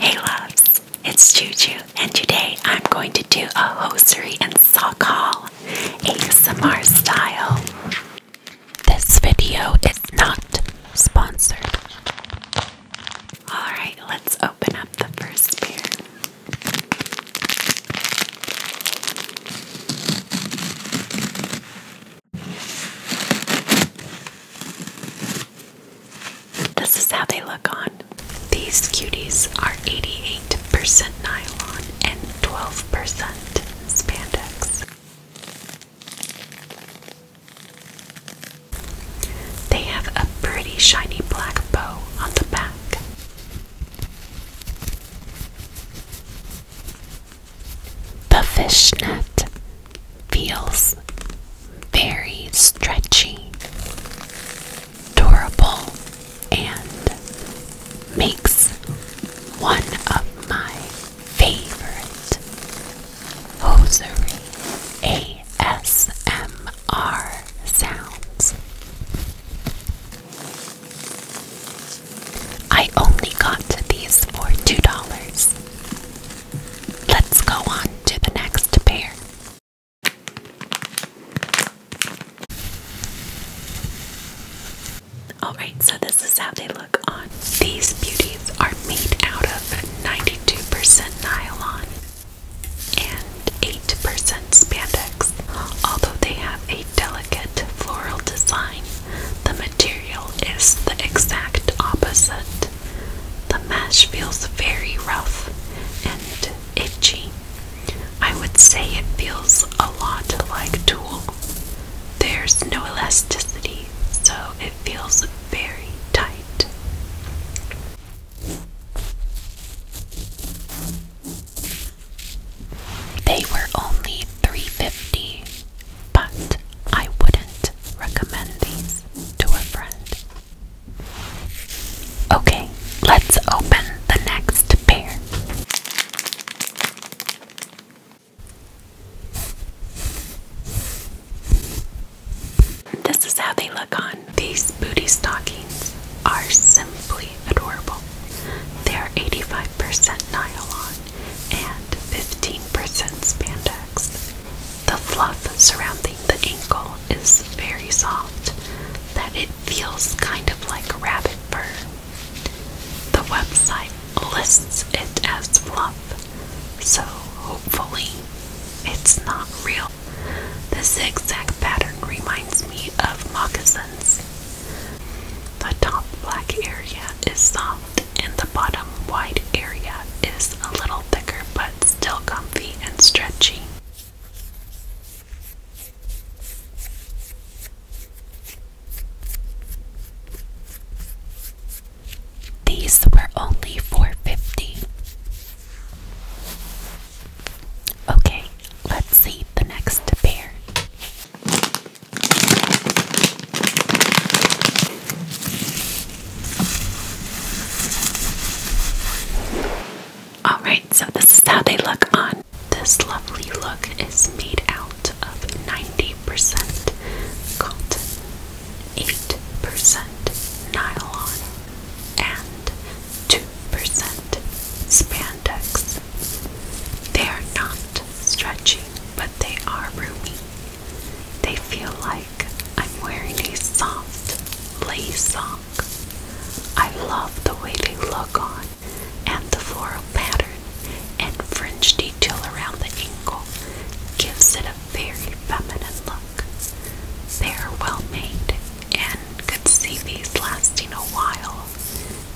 Hey loves, it's Juju, and today I'm going to do a hosiery and sock haul ASMR style. This video is not sponsored. Alright, let's open up the first pair. This is how they look on. These cuties are 88% nylon and 12% spandex. They have a pretty shiny black bow on the back. The fishnet feels very stretchy, durable, and makes one of my favorite hosiery ASMR sounds. I only got these for $2. Let's go on to the next pair. Alright, so this is how they look on. These beauties are made out of 92% nylon and 8% spandex. Although they have a delicate floral design, the material is the exact opposite. The mesh feels very rough and itchy. I would say it feels a lot like tulle. There's no elasticity, so it feels very tight. They were only three fifty, but I wouldn't recommend these to a friend. Okay, let's open the next pair. This is how they look on. These booty stockings are simply adorable. They are 85% nylon and 15% spandex. The fluff surrounding the ankle is very soft, that it feels kind of like rabbit fur. The website lists it as fluff, so hopefully it's not real. The zigzag pattern reminds me of moccasins the top black area is soft and the bottom white area is a little thicker but still comfy and stretchy. These were only 4 Okay, let's see the next pair. Alright, so this is how they look on. This lovely look is made out of 90% cotton, 8% nylon, and 2% spandex. They are not stretchy, but they are roomy. They feel like I'm wearing a soft lace sock. I love the way they look on and the floral pattern and fringe detail around the ankle gives it a very feminine look. They are well made and could see these lasting a while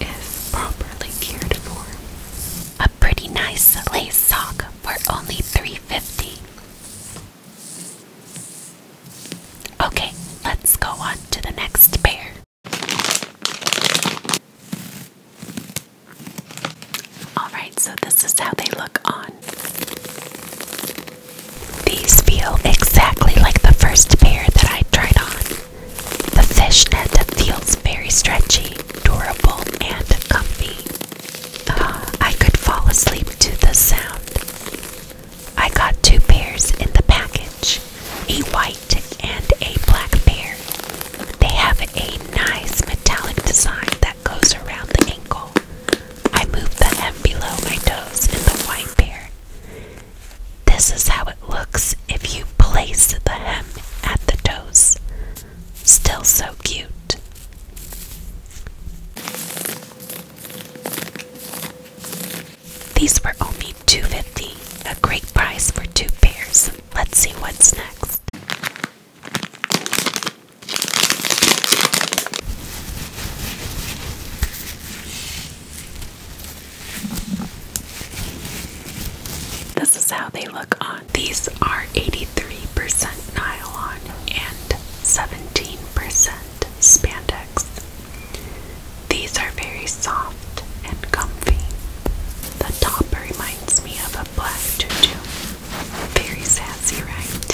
if properly cared for. A pretty nice lace sock for only $3.50. Okay, let's go on to the next pair. Alright, so this is how they look on. These feel exactly like the first pair that I tried on. The fishnet feels very stretchy, durable, and comfy. Uh, I could fall asleep to the sound. I got two pairs in the package a white and a black pair. They have a nice metallic design that goes around the ankle. I move the M below my toes in the wine pair. This is how it looks if you place the hem at the toes. Still so cute. These were only two fifty. a great price for two pairs. Let's see what's next. This is how they look on. These are 83% nylon and 17% spandex. These are very soft and comfy. The top reminds me of a black tutu. Very sassy, right?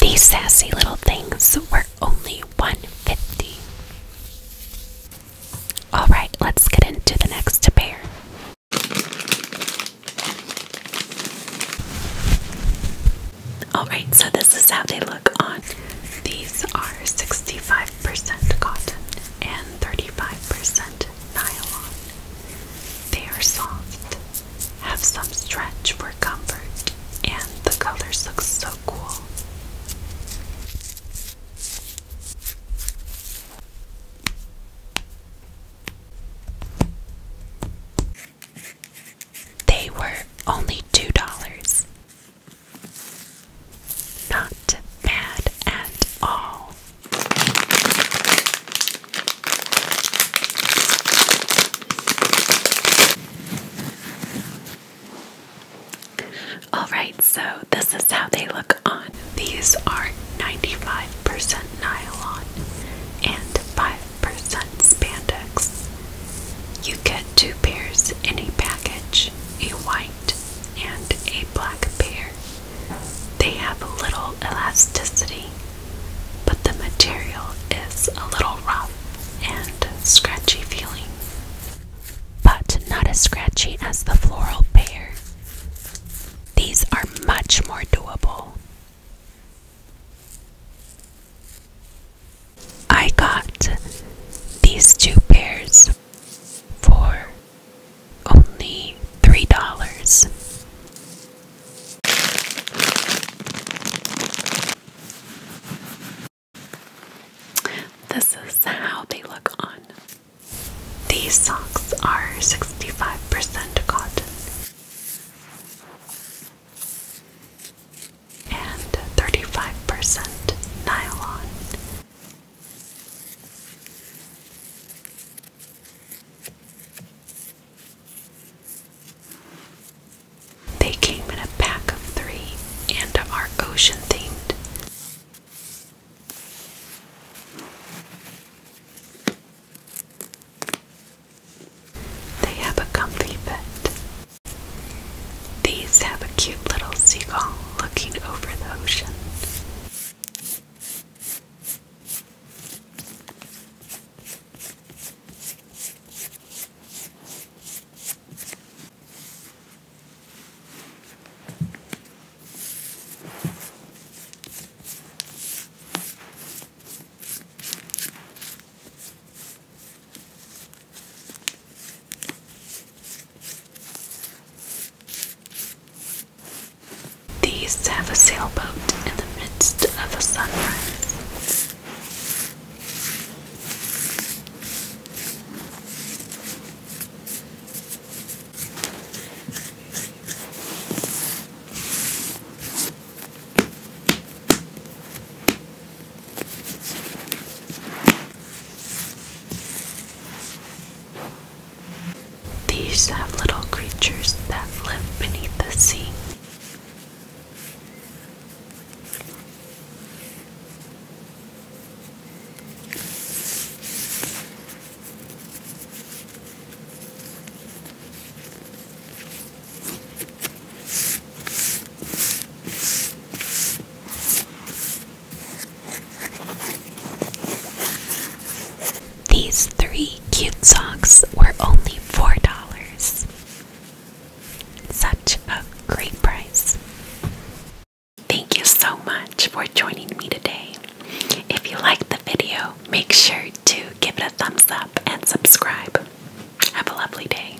These sassy little things were only 150. All right, let's get into the next pair. All right, so this is how they look on. These are 65% cotton and 35% nylon. They are soft, have some stretch for comfort, and the colors look so cool. They were only two dollars. Not bad at all. Alright, so this is how they look on. These are 95% nylon and 5% spandex. You get two pairs in a package a white and a black pair. They have little elasticity, but the material is a little rough and scratchy feeling, but not as scratchy as the floral pair. These are much more doable. I got these two pairs for only three dollars. This is how they look on. These socks are 65% cotton and 35% nylon they came in a pack of three and are ocean themed. They have a comfy bed. These have a cute little seagull looking over the ocean. These have a sailboat in the midst of a sunrise. These have little creatures that live beneath the sea. These three cute socks were only four dollars. Such a great price. Thank you so much for joining me today. If you liked the video, make sure to give it a thumbs up and subscribe. Have a lovely day.